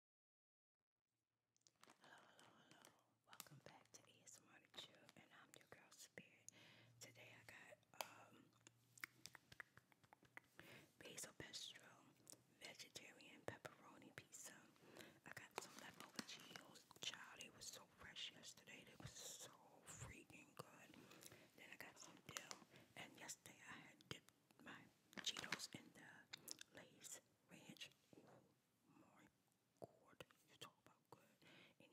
Hello, hello, hello. Welcome back to ASMR to Chill, and I'm your girl Spirit. Today I got um, basil pesto, vegetarian pepperoni pizza. I got some leftover Cheetos. Child, they was so fresh yesterday. They was so freaking good. Then I got some dill, and yesterday I had dipped my Cheetos in the Lay's ranch. Oh my god, you talk about good. Anyway.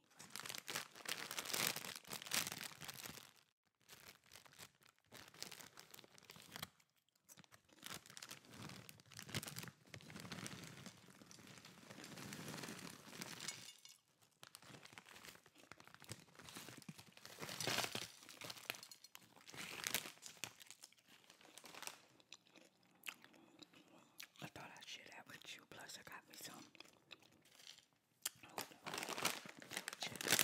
I thought i should have that with you. Plus, I got me some potato chips.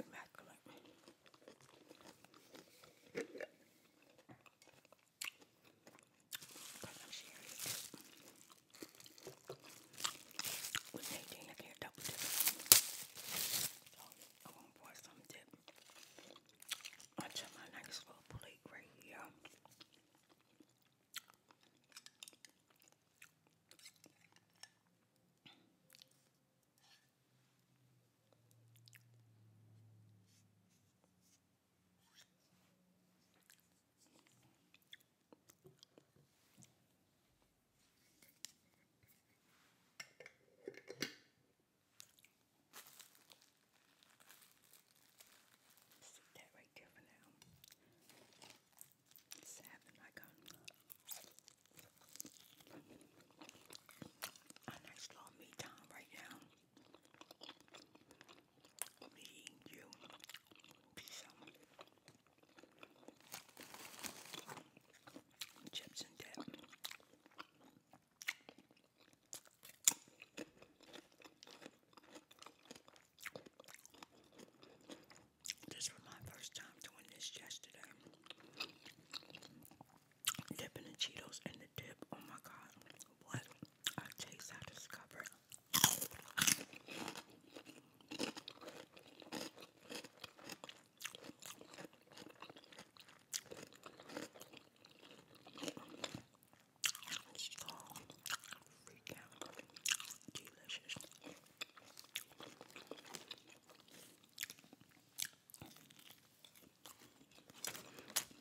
Immaculate. i with Nadine. I can't double dip. So I'm gonna some dip onto my nice little plate right here. Sit that right there for now sap in my gum. I'm not slow right now. Me, you, chips and dip. This was my first time doing this yesterday. Dipping the Cheetos in the dip. Oh my god. What a taste I discovered. Freaking delicious.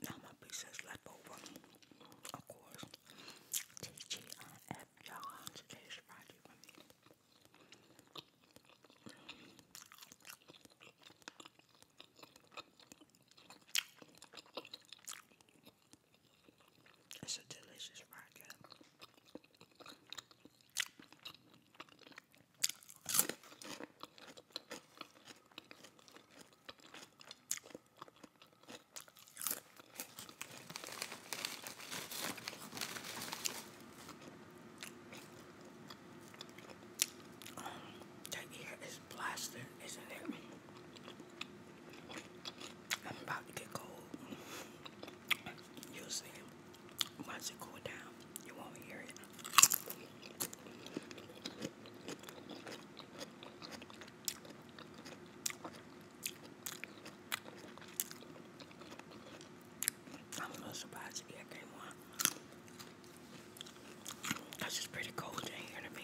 my pizza's left Of course, TGIF y'all. Today's Friday for me. It's a delicious vodka. Um, ear is plastic, isn't it? I'm about to get cold. you see. Once it cool down, you won't hear it. I'm a little to get game That's just pretty cold in here to me.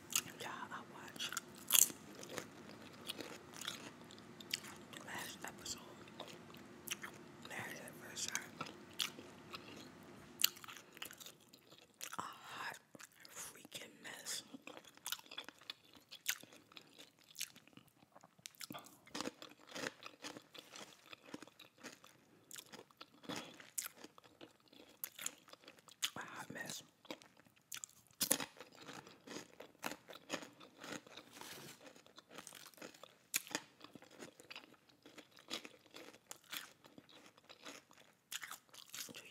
you I watched last episode. Married A hot freaking mess. A hot mess. Do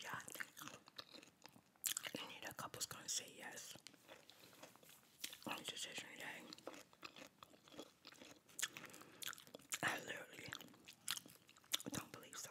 y'all think couple's gonna say yes on decision day? I literally don't believe so.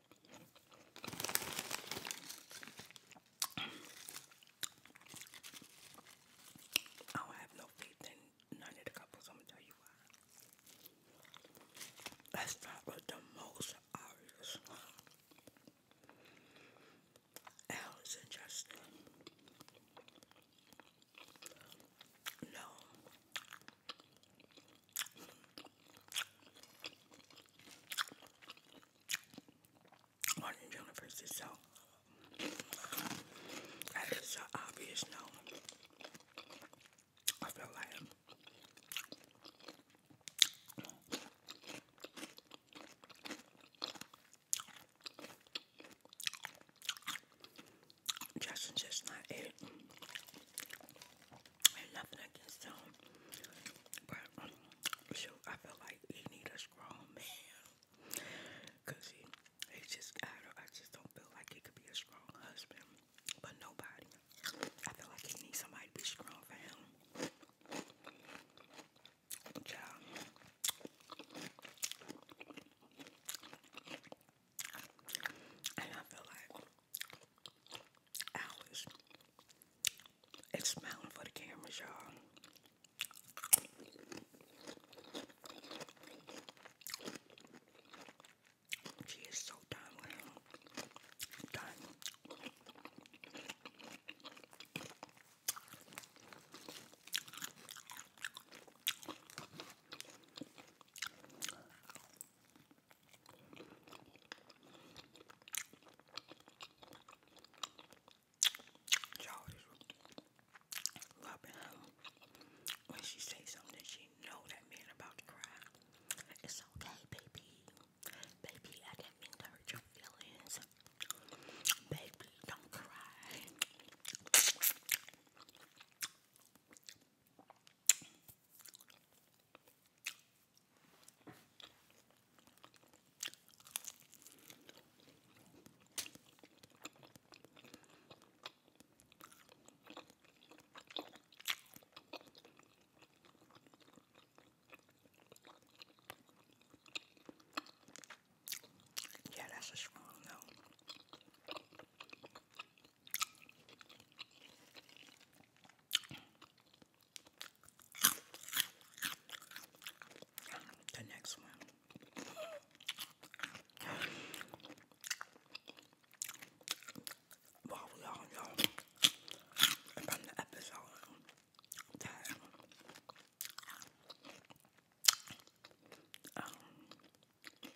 I don't have no faith in none of the couples. I'm gonna tell you why. Let's the most obvious. Alice and Justin. No, Morning Universe is so that is so obvious now. I feel like Justin's just not it. And nothing against him. But, um, I feel like he need a strong man. Because he, he just, I, just don't feel like he could be a strong husband. But nobody. I feel like he needs somebody to be strong for him. Child. And I feel like hours. It's smiling for the cameras, y'all. She is so done with him. Done. Y'all is rubbing when she say something she know that man about to cry. It's okay, baby. Baby, I didn't mean to hurt your feelings. Baby, don't cry. Yeah, that's a strong note. The next one. Well, we all know from the episode that the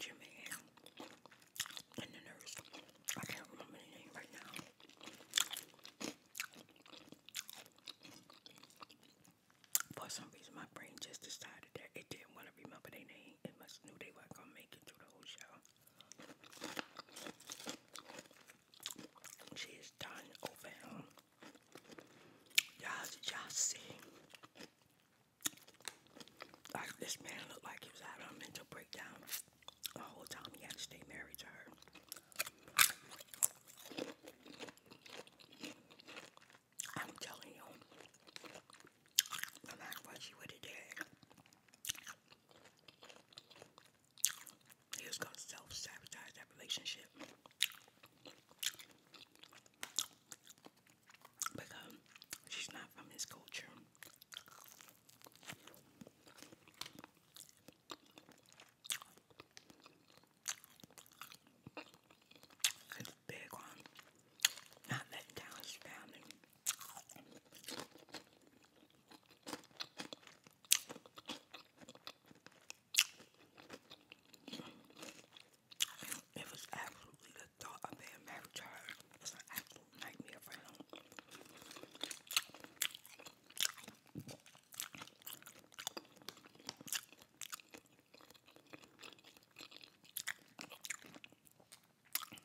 HMA and the nurse. I can't remember the name right now. For some reason, my brain just decided that it didn't want to remember their name. It must knew they weren't gonna make it through the whole show. She done over Y'all, y'all see? Like this man looked like he was out a mental breakdown the whole time he had to stay married to her. I'm telling you, no matter she would have he was gonna self sabotage that relationship. Because she's not from his culture. He's big on not letting down his family. It was absolutely the thought of being married to her. was an absolute nightmare for him.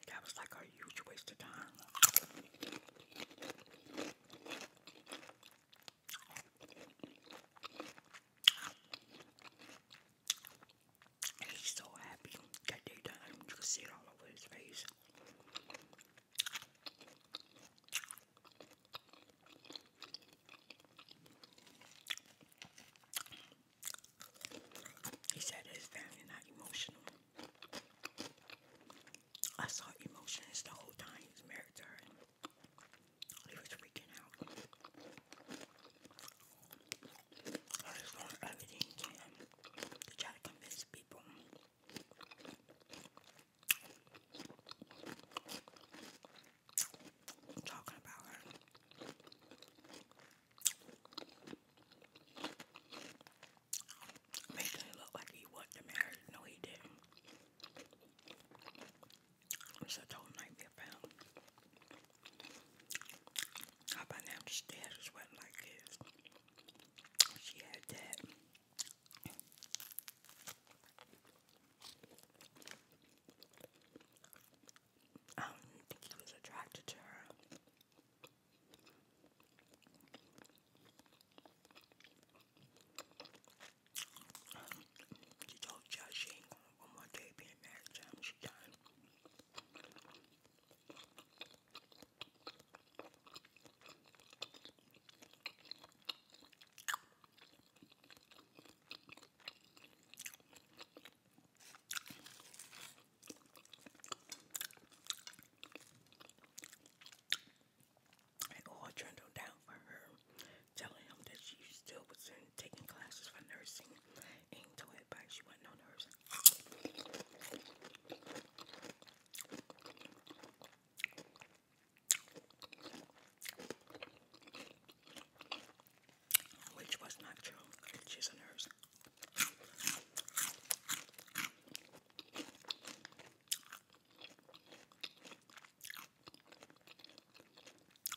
That was like a huge waste of time. He's so happy that they You can see it all over his face. He said his family not emotional. I saw emotions the whole time he's married to her. He was freaking out. I was doing everything to him try to convince people. talking about her. Making it look like he wanted to marry. No, he didn't. So I told him I'd be now just dad is wet like this. She had that. I don't think he was attracted to her. She told Josh she ain't one more day being mad at She done. It all turned on down for her, telling him that she still was in taking classes for nursing and told advice she wasn't no nurse. Which was not true. She's a nurse.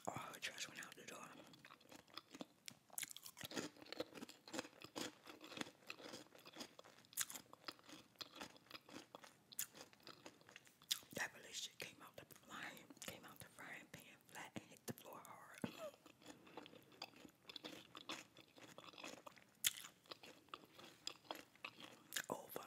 Oh, I just went out the door. That really shit came out the flying, came out the frying pan flat and hit the floor hard. Over.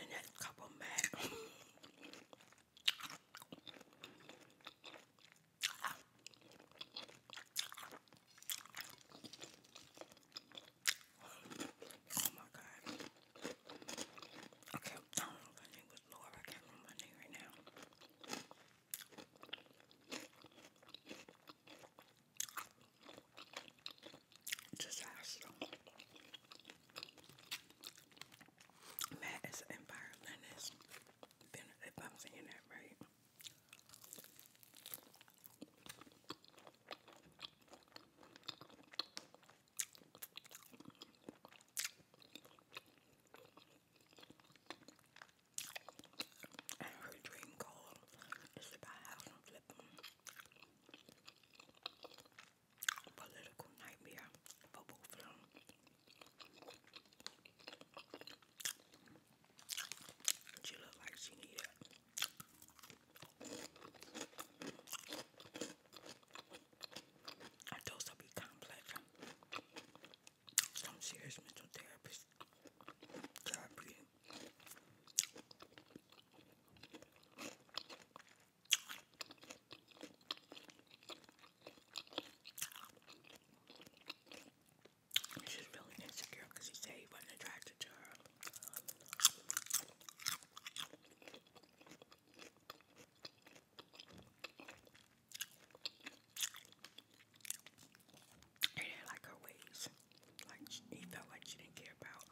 and that couple mat. Oh my god. Okay, I don't know if name was Laura, I can't remember her name right now disaster. Man, it's an environmentalist. If I'm saying that right. And her dream goal is to house and political nightmare for both of them. She looked like she needed I told her to be complex. Some serious mental therapist therapy. She's really insecure because he said he wasn't attracted to her. He didn't like her ways. Like, she, he felt like she didn't care about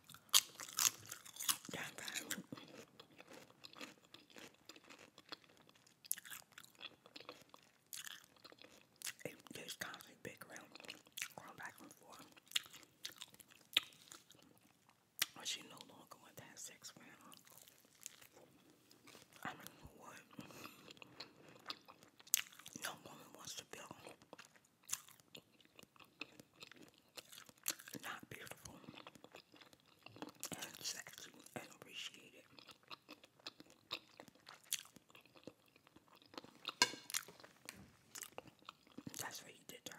it just constantly big around, going back and forth. Or she no longer want to sex I don't know what. No woman wants to build not beautiful and sexy and appreciated. That's what he did to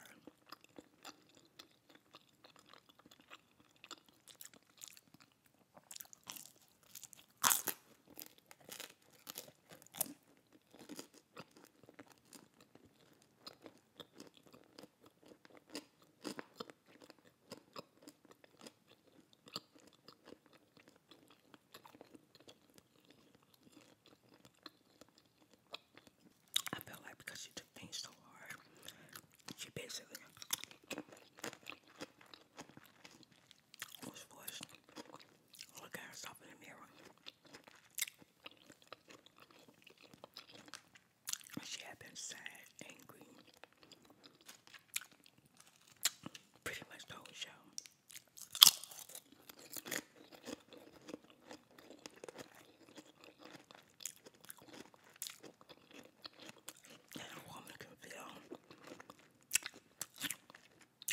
I feel like because she took things so hard, she basically look at herself in the mirror she had been sad, angry, pretty much the whole show. And a woman can feel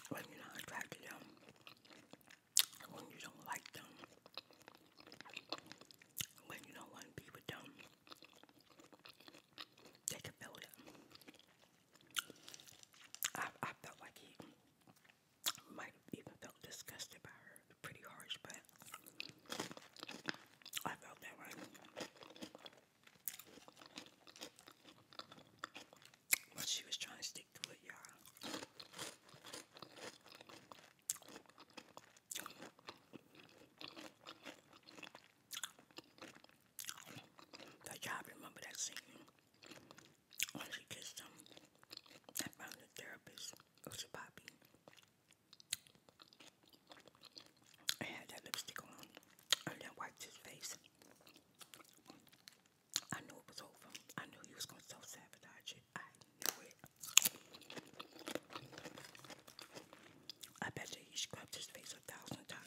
when you're not attracted to them when you don't like them, when you don't want to be with them, they can feel it. I, I felt like he might have even felt disgusted by her. Pretty harsh, but I felt that way. But she was trying to stick to it, y'all. That job, remember that scene when she kissed him in front the therapist, it was a I had that lipstick on, and then wiped his face. I knew it was over. I knew he was gonna self sabotage it. I bet you he scrubbed his face a thousand times.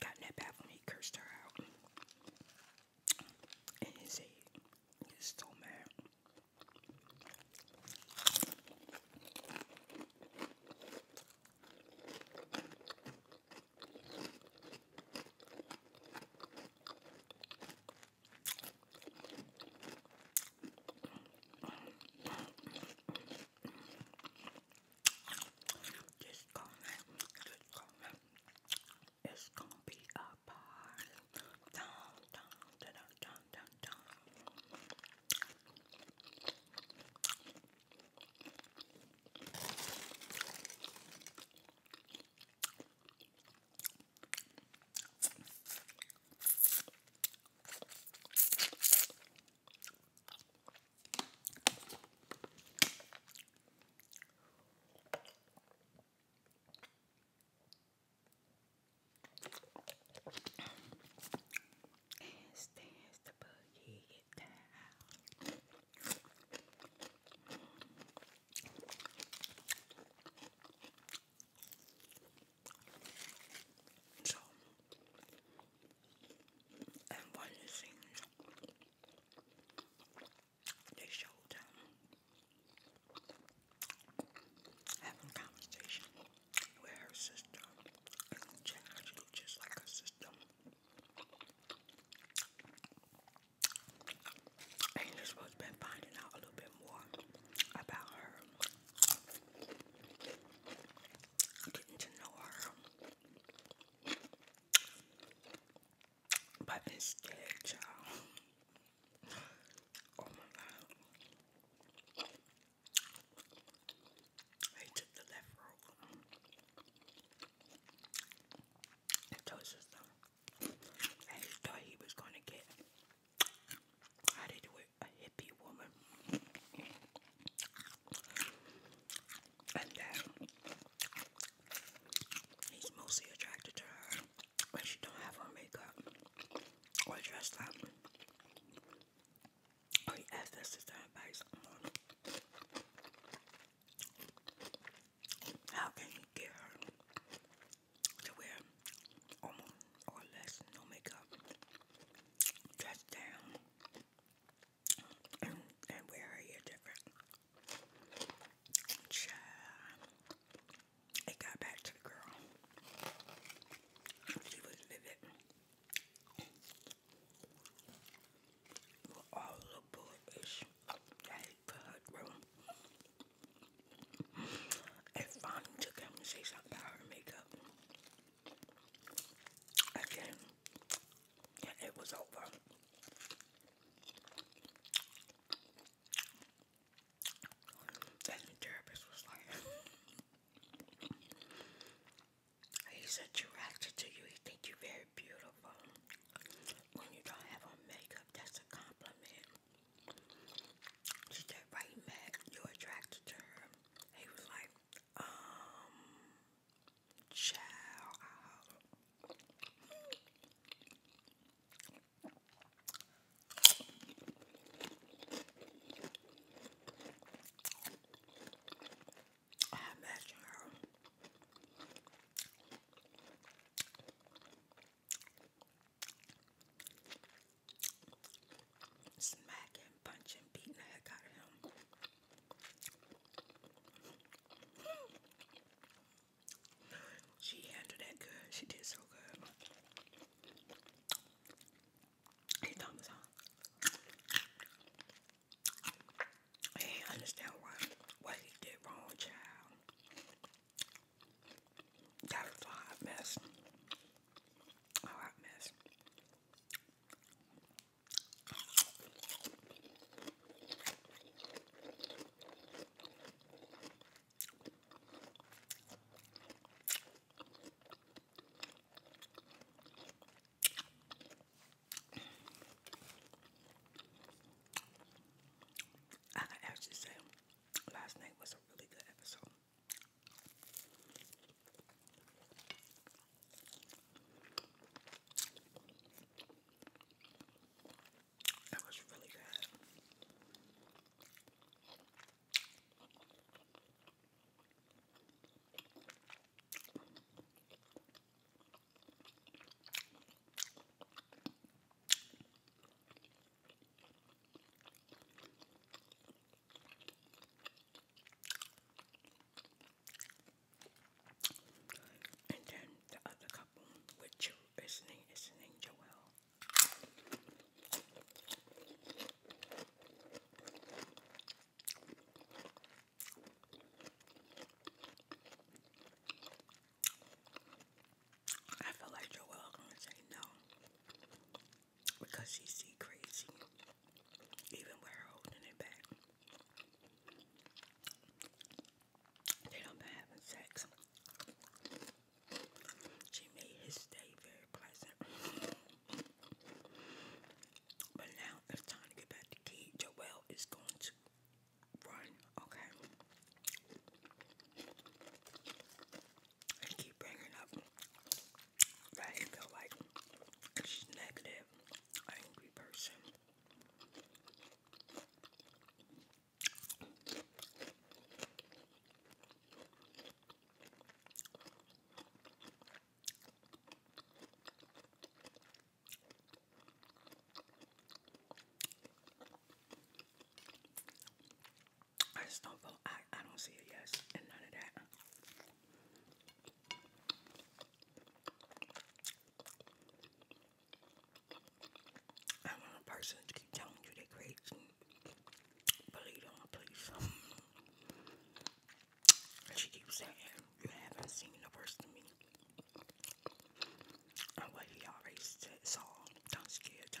got in that bathroom, he cursed her out. And he said, he's so mad. Just gonna, just gonna, it's gonna be a party. dun, dun, dun, dun, dun. Dance, dance the boogie down. So, and one of they showed them um, having conversation with her sister just like her sister. And you're supposed to been finding out a little bit more about her. Getting to know her. But instead, y'all. Oh my god. They took the left road he thought he was gonna get how to do it, a hippie woman. And then he's mostly attracted to her when she don't have her makeup or dressed up. he asked us to advice. How can you get her to wear almost or less no makeup, dress down, and, wear her hair different? Child, it got back to the girl. She was livid all the bullish that he her through. It finally took him to say something about makeup. Again, it was over. Then the therapist was like, he said, you acted to you, he think you very beautiful when you don't have on makeup, that's a compliment. She said right back, you're attracted to her. He was like, um, child, I I imagine Smacking, punching, beating the heck out of him. She handled it good. She did so good. Hey, Thomas, I didn't understand why, what he did wrong, child. That a hot mess. A hot mess. I can actually say last night was a really good episode. It was really good. And then the other couple with you is named is named Joel. I feel like Joelle gonna say no because she see crazy, even with her holding it back. They don't been having sex. She made his day very pleasant. But now it's time to get back to kid. Joelle is going to run, okay? And keep bringing up that you feel like she's negative, angry person. I just don't feel, I, I don't see yes in none of that. I'm a person to keep telling you they're crazy. Believe them, please. She keeps saying, you haven't seen the worst of me what he already said, don't scare them.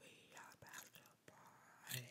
We are about to party.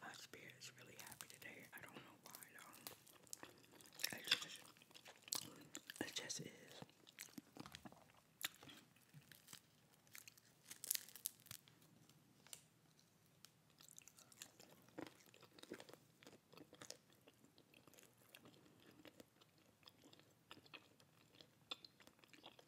My spirit is really happy today. I don't know why though. It just, it just is.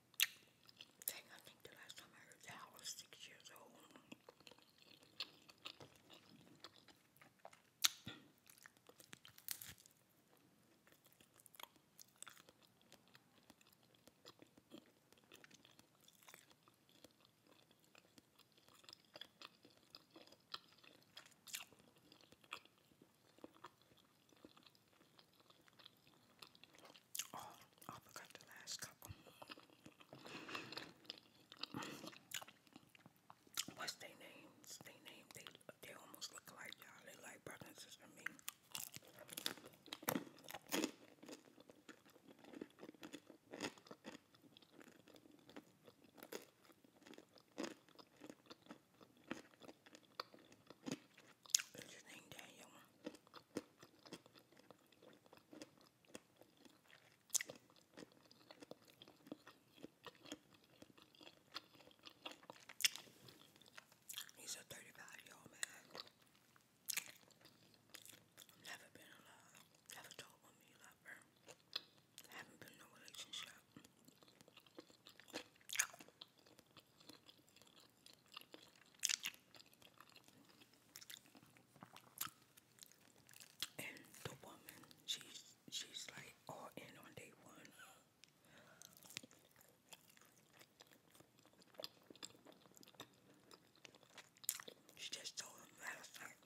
I think the last time I heard that I was six years old. I'll oh, I forgot the last couple. What's their names? They name they they almost look like y'all. They like brothers and me. Is his name Daniel? He's a 35-year-old man. Never been in love. Never told woman you love her. Haven't been in a relationship. And the woman, she's she's like all in on day one. She just told him last night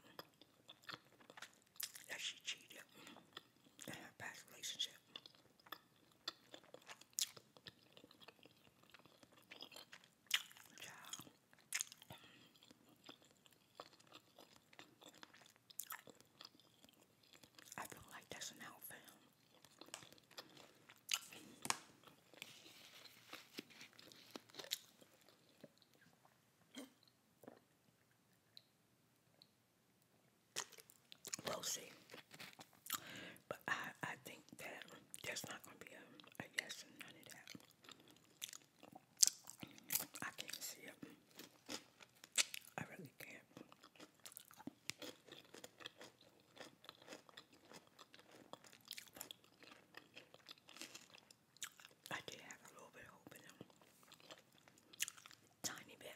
that she cheated in her past relationship. Yeah. I feel like that's an outfit. We'll see. But I, I think that there's not going to be a, yes none of that. I can't see it. I really can't. I did have a little bit of hope in them. Tiny bit.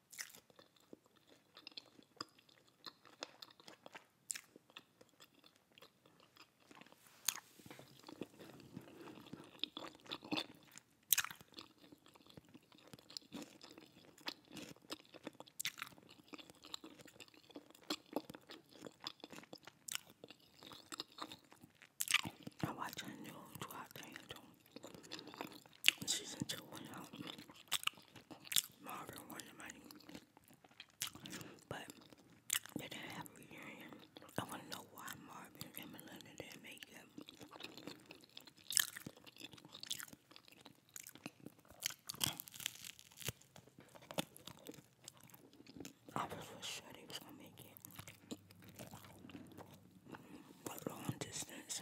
I watch a new two out season two went out. Marvin won the money. But they didn't have reunion. I wanna know why Marvin and Melinda didn't make it. I was for sure they was gonna make it. But long distance.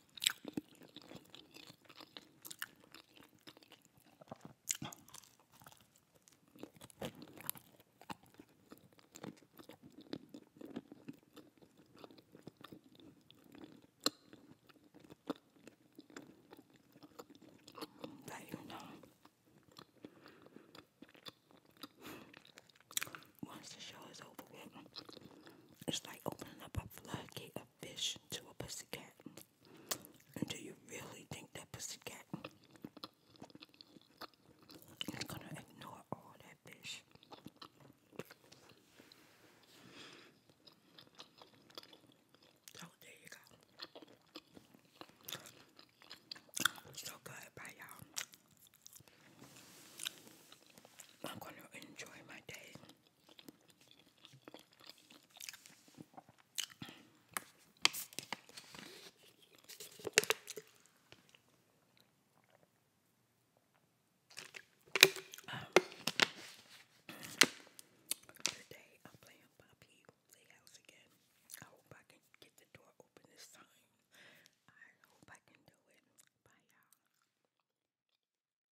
But you know, once the show is over it's like opening up a floodgate fish to a pussycat? And do you really think that pussycat is gonna ignore all that fish? So oh, there you go. So good, bye y'all. I'm gonna enjoy my day. Today I'm playing Poppy Playhouse again. I hope I can get the door open this time. I hope I can do it. Bye y'all.